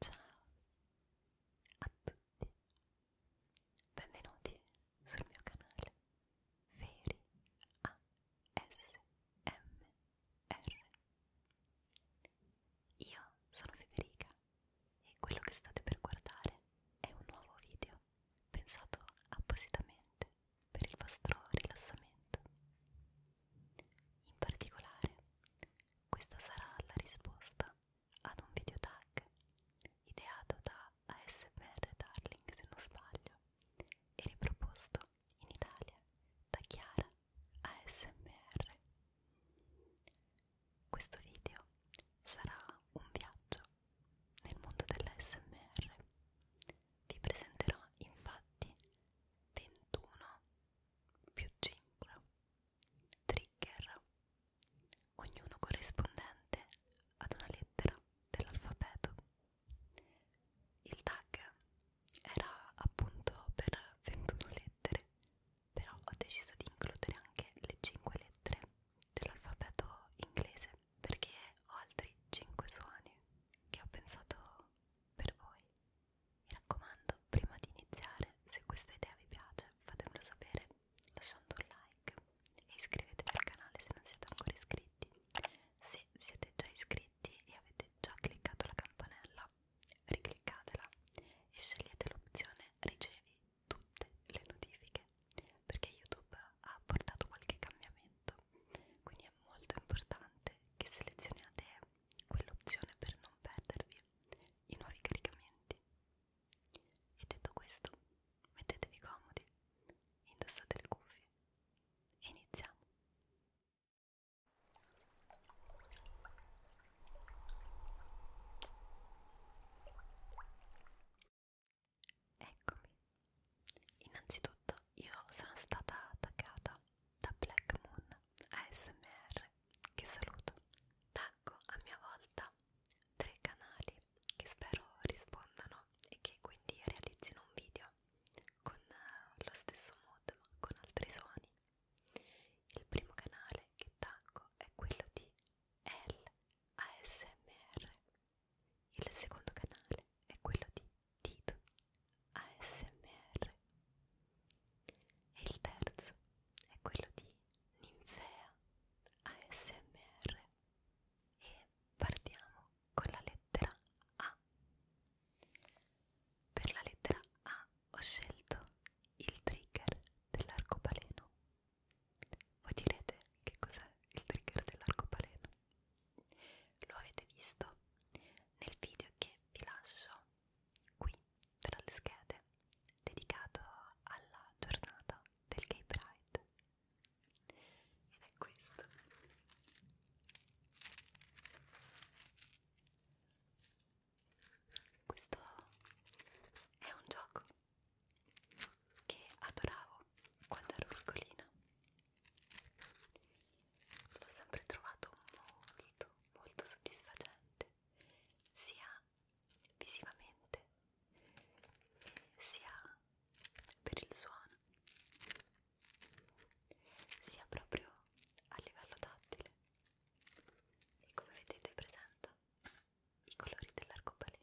Ciao a tutti, benvenuti sul mio canale Feri ASMR. Io sono Federica e quello che state per guardare è un nuovo video video pensato appositamente per il vostro rilassamento. In particolare, questa sarà la risposta ad un video tag ideato da ASMR Darling se non sbaglio e riproposto in Italia da Chiara ASMR. Questo video sarà un viaggio nel mondo dell'ASMR. Vi presenterò infatti 21 più 5 trigger, ognuno corrispondente ad una lettera dell'alfabeto. Il tag era appunto per 21 lettere, però ho deciso di includere anche le 5 lettere dell'alfabeto inglese perché ho altri 5 suoni che ho pensato per voi. Mi raccomando, prima di iniziare, se questa idea vi piace, fatemelo sapere lasciando un like e iscrivetevi al canale se non siete ancora iscritti. Se siete già iscritti e avete già cliccato la campanella, ricliccatela e scegliete l'opzione ricevi tutte le notifiche utile perché YouTube ha portato qualche cambiamento, quindi è molto importante che selezioniate quell'opzione per non perdervi i nuovi caricamenti. E detto questo, mettetevi comodi, indossate le cuffie e iniziamo. Eccomi. Innanzitutto io sono stata attaccata da Black Moon ASMR che saluto. Tacco a mia volta tre canali che spero rispondano e che quindi realizzino un video con eh, lo stesso mood ma con altri suoni. Il primo canale che tacco è quello di L ASMR il secondo canale è quello di Tito ASMR e il terzo è quello di Ninfea ASMR e partiamo con la lettera A. Per la lettera A ho scelto il trigger dell'arcobaleno voi direte che cos'è il trigger dell'arcobaleno? Lo avete visto nel video che vi lascio qui tra le schede dedicato alla giornata del Gay Pride ed è questo questo è un gioco che adoravo quando ero piccolina. L'ho sempre trovato molto, molto soddisfacente, sia visivamente sia per il suono, sia proprio a livello tattile. E come vedete presenta i colori dell'arcobaleno.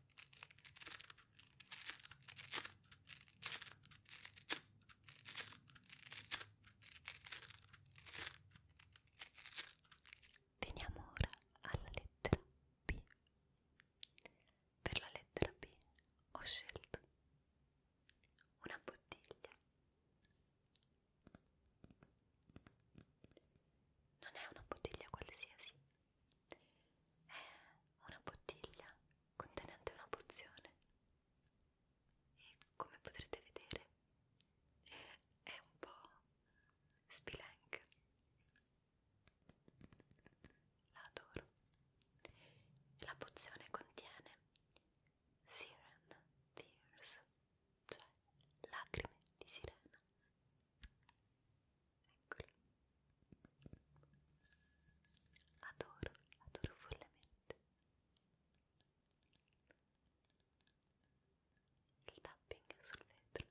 Veniamo ora alla lettera B. Per la lettera B ho scelto una bottiglia. Non è una bottiglia qualsiasi, è eh, una bottiglia contenente una pozione e come potrete vedere è un po' spilank. La adoro. La pozione contiene Siren Tears, cioè lacrime di sirena. Eccola. Adoro, adoro follemente. Il tapping sul vetro.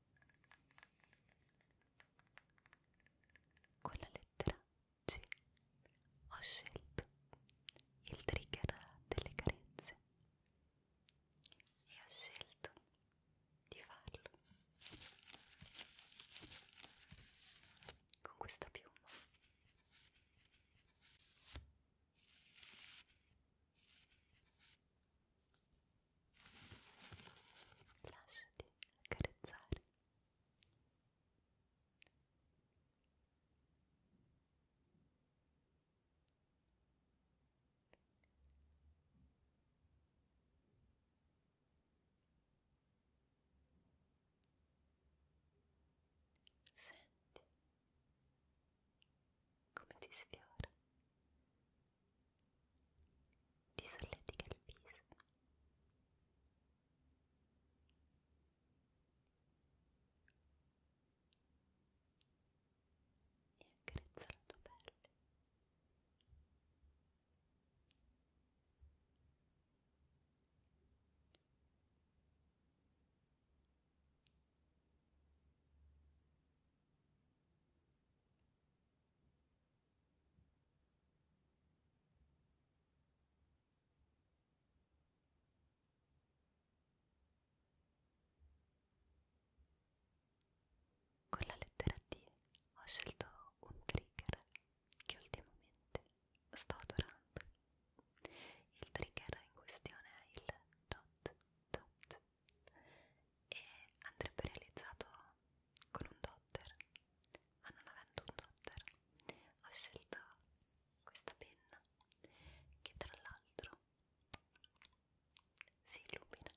Con la lettera C ho scelto il trigger delle carezze e ho scelto di farlo con questa piuma. Lasciati accarezzare. Senti come ti sfiora ti solletica il viso e accarezza la tua pelle e con la lettera D ho scelto un trigger che ultimamente sto adorando. Il trigger in questione è il dot dot e andrebbe realizzato con un dotter ma non avendo un dotter ho scelto questa penna che tra l'altro si illumina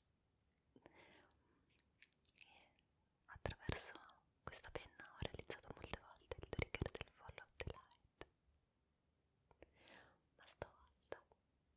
e attraverso questa penna ho realizzato molte volte il trigger del follow of the light ma stavolta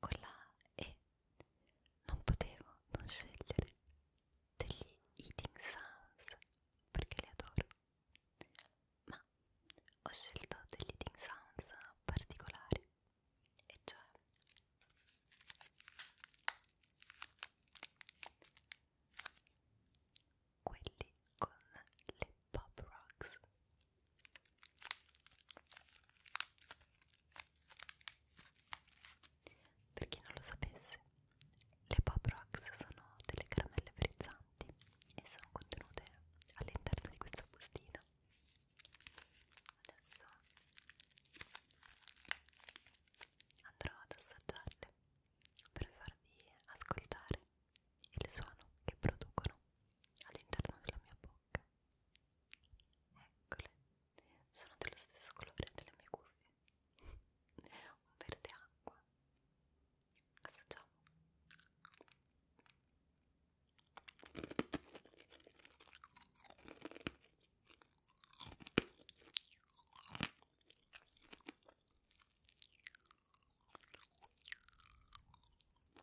con la E non potevo non scegliere degli eating sounds perché li adoro ma ho scelto degli eating sounds particolari e cioè quelli con le Pop Rocks. Per chi non lo sapesse, le Pop Rocks sono delle caramelle frizzanti e sono contenute all'interno di questa bustina. Adesso andrò ad assaggiarle per farvi ascoltare il suono che producono all'interno della mia bocca. Eccole, sono dello stesso colore delle mie cuffie, un verde acqua. Assaggiamo.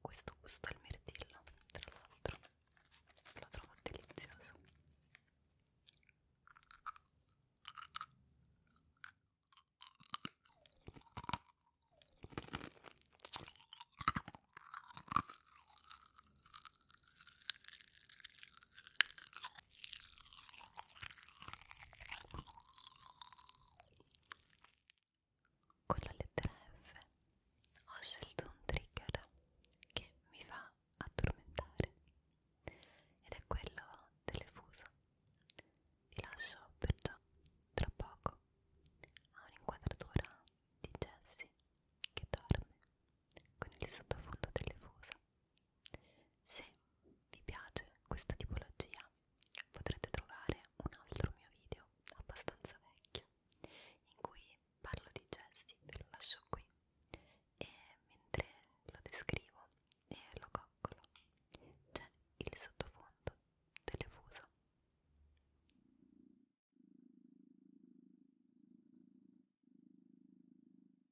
Questo gusto al mirtillo, tra l'altro, lo trovo delizioso. Con la lettera F ho scelto un trigger che mi fa addormentare ed è quello delle fusa. Vi lascio perciò tra poco a un'inquadratura di Jessie che dorme con il sottofondo delle fusa se vi piace questa tipologia potrete trovare un altro mio video abbastanza vecchio in cui parlo di gesti, ve lo lascio qui e mentre lo descrivo e lo coccolo c'è il sottofondo telefuso.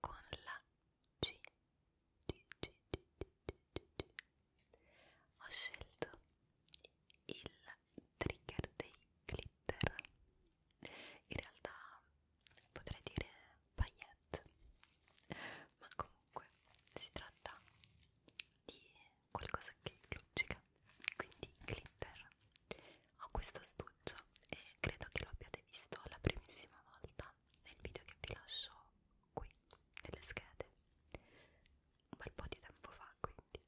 con la G, G, G, G, G, G, G. ho scelto il trigger dei glitter in realtà potrei dire paillette ma comunque si tratta di qualcosa che luccica quindi glitter ho questo astuccio e credo che lo abbiate visto la primissima volta nel video che vi lascio qui nelle schede un bel po' di tempo fa quindi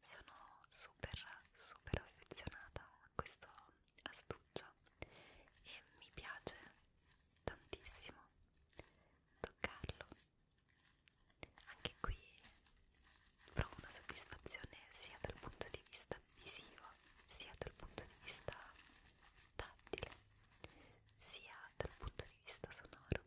sono super super affezionata a questo astuccio e mi piace tantissimo toccarlo anche qui provo una soddisfazione sia dal punto di vista visivo sia dal punto di vista tattile sia dal punto di vista sonoro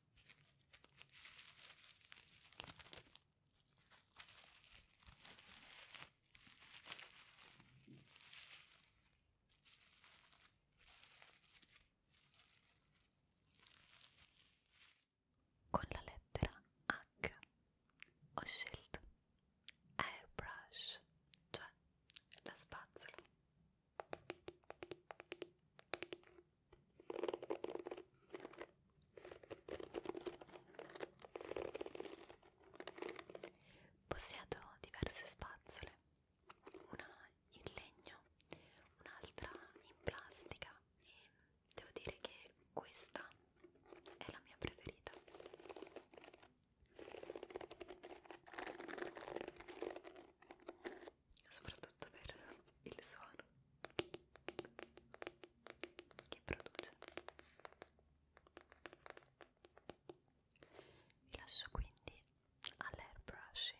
Con la lettera H ho scelto airbrush, cioè la spazzola. Possiedo diverse spazzole, una in legno, un'altra in plastica e devo dire che questa è la mia preferita soprattutto per il suono che produce. Vi lascio quindi all'air brushing.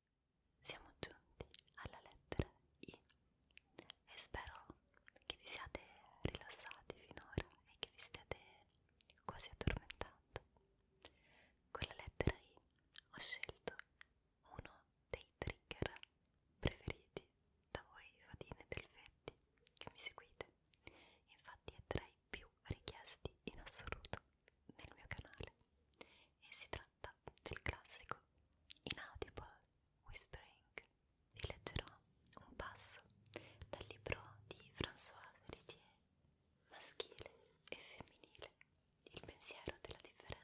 siamo giunti alla lettera I e spero che vi siate rilassati finora e che vi stiate quasi addormentando. Con la lettera I ho scelto uno dei trigger preferiti da voi fatine del Fetti che mi seguite, infatti è tra i più richiesti in assoluto nel mio canale e si tratta tratta del classico Inaudible Whispering. Vi leggerò un passo dal libro di Françoise Héritier, Maschile e femminile, il pensiero della differenza.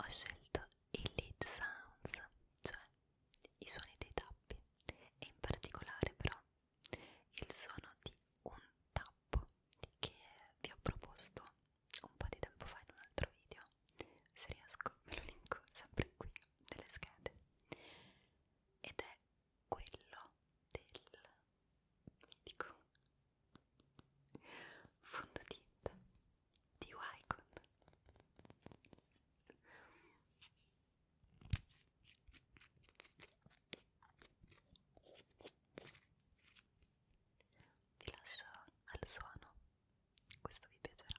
Ho scelto i lead sounds, cioè i suoni dei tappi, e in particolare però il suono di un tappo che vi ho proposto un po' di tempo fa in un altro video. Se riesco ve lo linko sempre qui nelle schede. Ed è quello del dico fondotinta di Wycon vi lascio al suono questo vi piacerà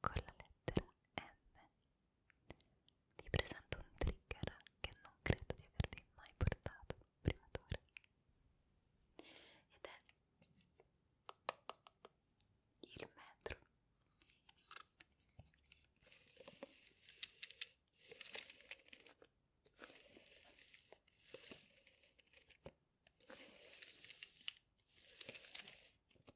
Con la lettera M vi presento un trigger che non credo di avervi mai portato prima d'ora ed è il metro.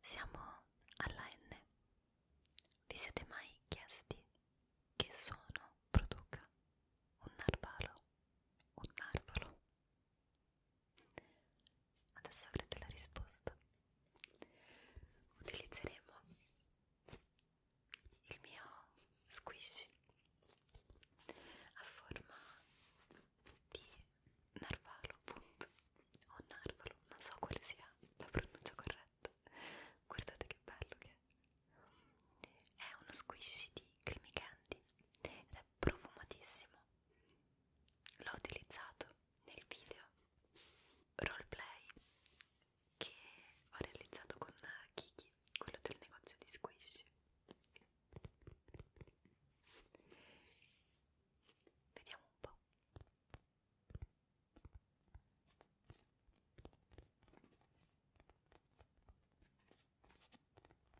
Siamo alla N. Vi siete mai chiesti che suono produca un narvalo? Un narvalo? Adesso avrete la risposta. Utilizzeremo il mio squishy a forma di narvalo, appunto, o narvalo, non so quale sia la pronuncia corretta. Guardate che bello che è. È uno squishy di cremi candy ed è profumatissimo l'ho utilizzato nel video roleplay che ho realizzato con Kiki, quello del negozio di squish. Vediamo un po'.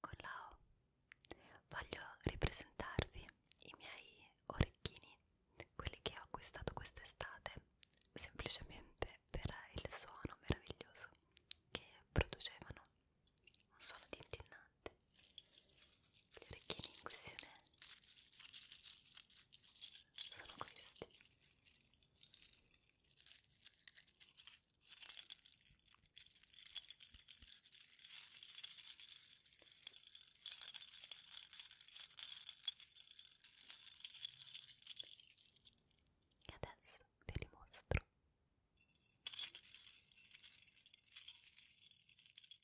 Con la O voglio ripresentarvi i miei orecchini, quelli che ho acquistato quest'estate, semplicemente per il suono meraviglioso che producevano, un suono tintinnante gli orecchini in questione sono questi e adesso ve li mostro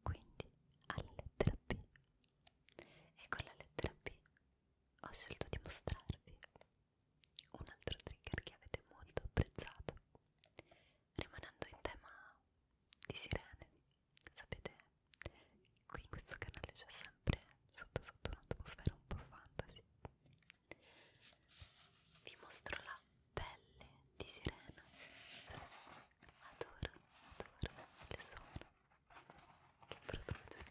quindi alla lettera B e con la lettera B ho scelto di mostrarvi un altro trigger che avete molto apprezzato rimanendo in tema di sirene sapete qui in questo canale c'è sempre sotto sotto un'atmosfera un po' fantasy vi mostro la pelle di sirena adoro, adoro il suono che produce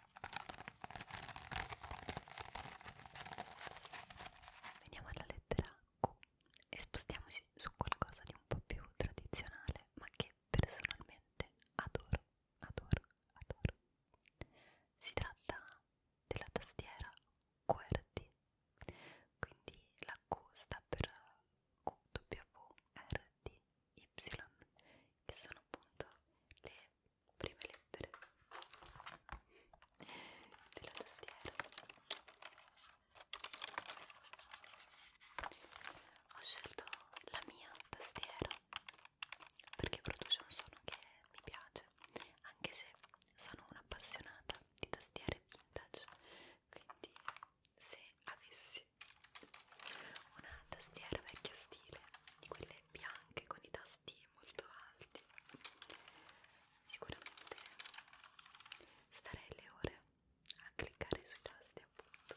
Veniamo alla lettera Q e spostiamoci su qualcosa di un po' più tradizionale, ma che personalmente adoro, adoro, adoro. Si tratta della tastiera QWERTY, quindi la Q sta per QWRT Y che sono appunto le prime lettere della tastiera ho scelto la mia tastiera perché produce un suono che mi piace anche se sono un'appassionata di tastiere vintage quindi se avessi una tastiera vecchio stile di quelle bianche con i tasti molto alti sicuramente starei le ore a cliccare sui tasti appunto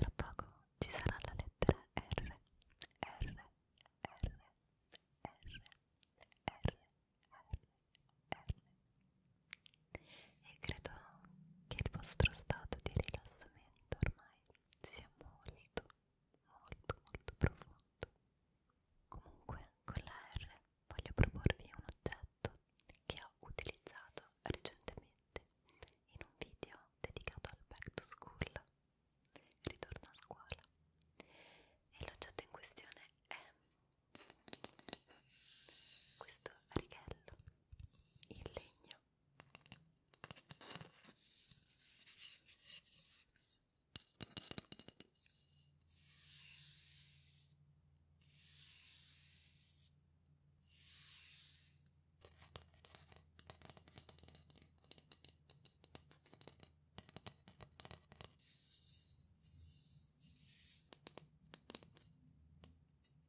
Tra poco ci sarà la lettera R, R, R, R, R, R, R e credo che il vostro stato di rilassamento ormai sia molto molto molto profondo comunque con la R voglio proporvi un oggetto che ho utilizzato recentemente in un video dedicato al back to school ritorno a scuola e l'oggetto in questione è questo righello in legno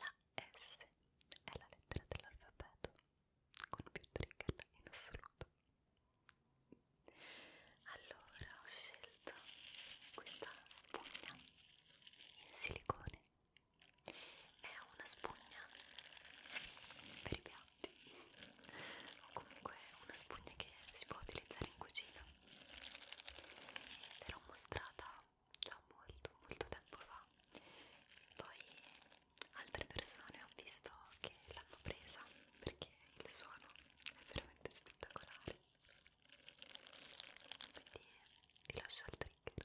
La S è la lettera dell'alfabeto con più trigger in assoluto. Allora ho scelto questa spugna in silicone. È una spugna per i piatti o comunque una spugna che si può utilizzare in cucina. Ve l'ho mostrata già molto molto tempo fa poi altre persone ho visto che l'hanno presa perché il suono è veramente spettacolare quindi vi lascio al trigger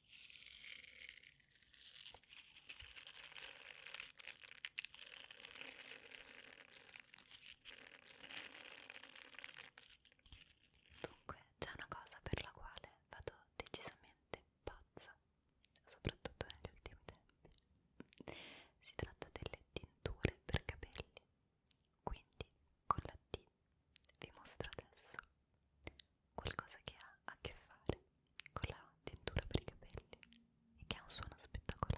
Dunque c'è una cosa per la quale vado decisamente pazza, soprattutto negli ultimi tempi. Si tratta delle tinture per capelli. Quindi con la T vi mostro adesso qualcosa che ha a che fare con la tintura per i capelli e che ha un suono spettacolare.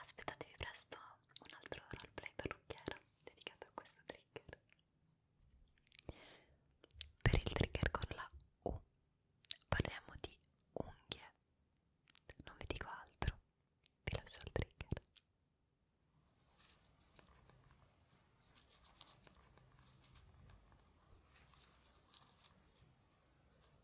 Aspettatevi presto un altro roleplay parrucchiera dedicato a questo trigger. Per il trigger con la U parliamo di unghie. Non vi dico altro, vi lascio il trigger. Ora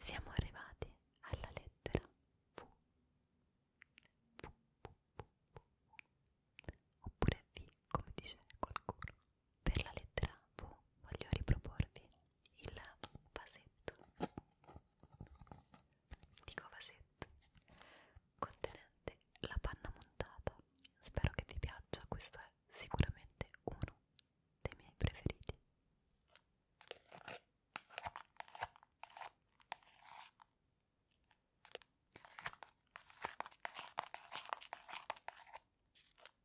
Siamo arrivati alla lettera V, v, v, v, v. oppure V come dice qualcuno per la lettera V voglio riproporvi il vasetto dico vasetto contenente la panna montata spero che vi piaccia questo è sicuramente uno dei miei preferiti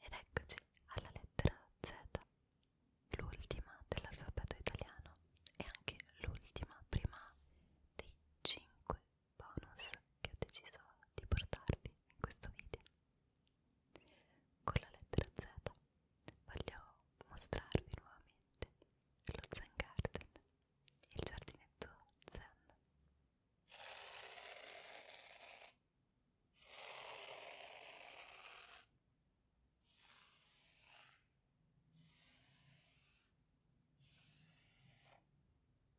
Ed eccoci alla lettera Z, l'ultima dell'alfabeto italiano e anche l'ultima prima dei 5 bonus che ho deciso di portarvi in questo video. Con la lettera Z voglio mostrarvi nuovamente lo Zen Garden, il giardinetto Zen.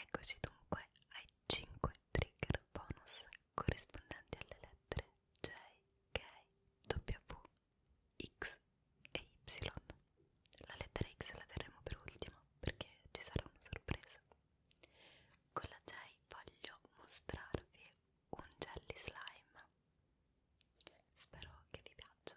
Eccoci dunque ai 5 trigger bonus corrispondenti alle lettere J, K, W, X e Y. La lettera X la terremo per ultima perché ci sarà una sorpresa. Con la J voglio mostrarvi un jelly slime. Spero che vi piaccia.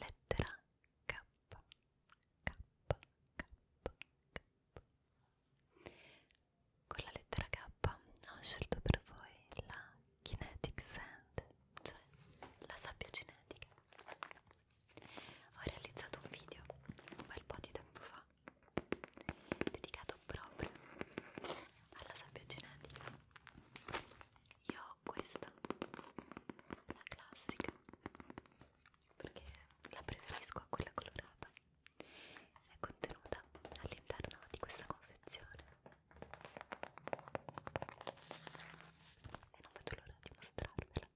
lettera K, K, K, K. Con la lettera K ho scelto per voi la kinetic sand, cioè la sabbia cinetica. Ho realizzato un video un bel po' di tempo fa dedicato proprio alla sabbia cinetica. Io ho questa la classica perché la preferisco a quella colorata è contenuta all'interno di questa confezione e non vedo l'ora di mostrarvela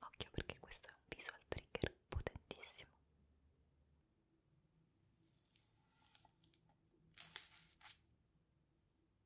occhio perché questo è un visual trigger potentissimo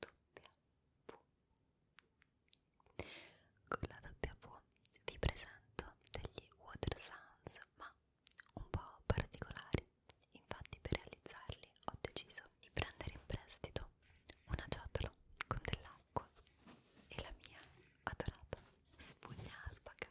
doppia V. Con la doppia V vi presento degli water sounds, ma un po' particolari. Infatti, per realizzarli ho deciso di prendere in prestito una ciotola con dell'acqua e la mia adorata spugna albaca.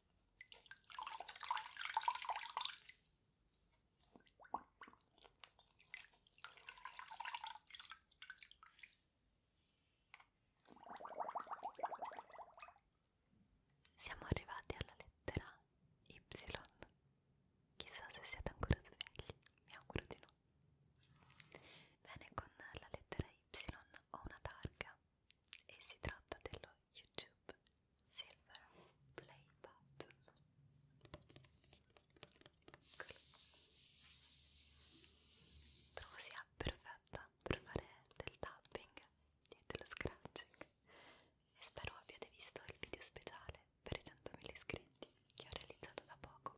Siamo arrivati alla lettera Y. Chissà se siete ancora svegli, mi auguro di no. Bene, con la lettera Y ho una targa e si tratta dello YouTube Silver Play Button. Eccolo. Trovo sia perfetta per fare del tapping e dello scratching e spero abbiate visto il video speciale per i 100.000 iscritti che ho realizzato da poco,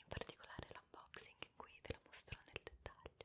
in particolare l'unboxing in cui ve lo mostro nel dettaglio.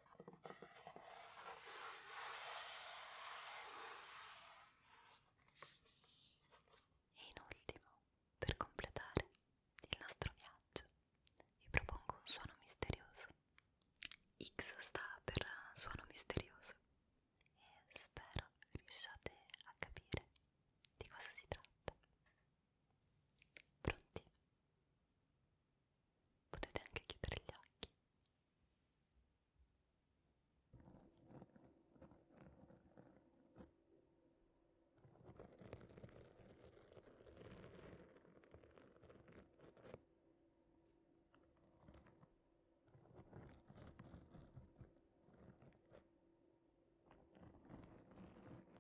E in ultimo, per completare il nostro viaggio, vi propongo un suono misterioso. X sta per suono misterioso e spero riusciate a capire di cosa si tratta. Pronti? Potete anche chiudere gli occhi.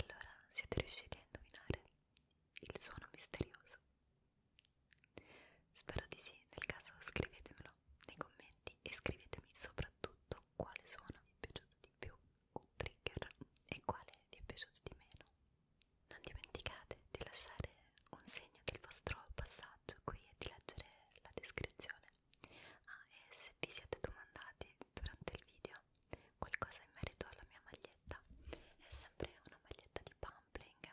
Allora siete riusciti a indovinare il suono misterioso? Spero di sì, nel caso scrivetemelo nei commenti e scrivetemi soprattutto quale suono vi è piaciuto di più, un trigger, e quale vi è piaciuto di meno. Non dimenticate di lasciare un segno del vostro passaggio qui e di leggere la descrizione Ah, e se vi siete domandati durante il video qualcosa in merito alla mia maglietta, è sempre una maglietta di Pumpling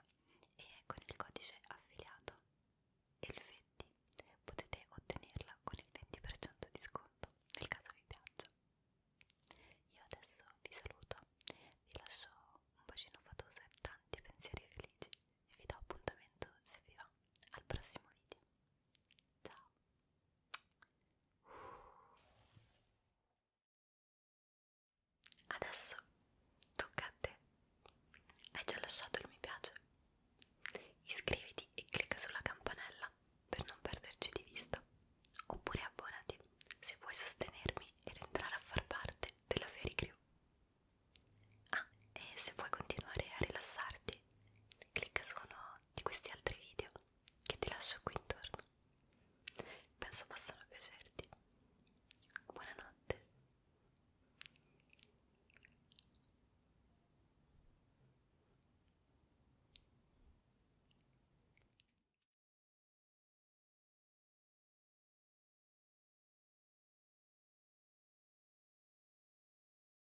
e con il codice affiliato ELVETTI potete ottenerla con il 20% di sconto nel caso vi piaccia. Io adesso vi saluto, vi lascio un bacino fatoso e tanti pensieri felici e vi do appuntamento se vi va al prossimo video. Ciao. Adesso tocca a te. Hai già lasciato il mi piace? Iscriviti e clicca sulla campanella per non perderci di vista. Oppure abbonati se vuoi sostenermi ed entrare a far parte della Fairy Crew. Ah, e se vuoi continuare a rilassarti, clicca su uno di questi altri video che ti lascio qui intorno. Penso possano piacerti. Buonanotte.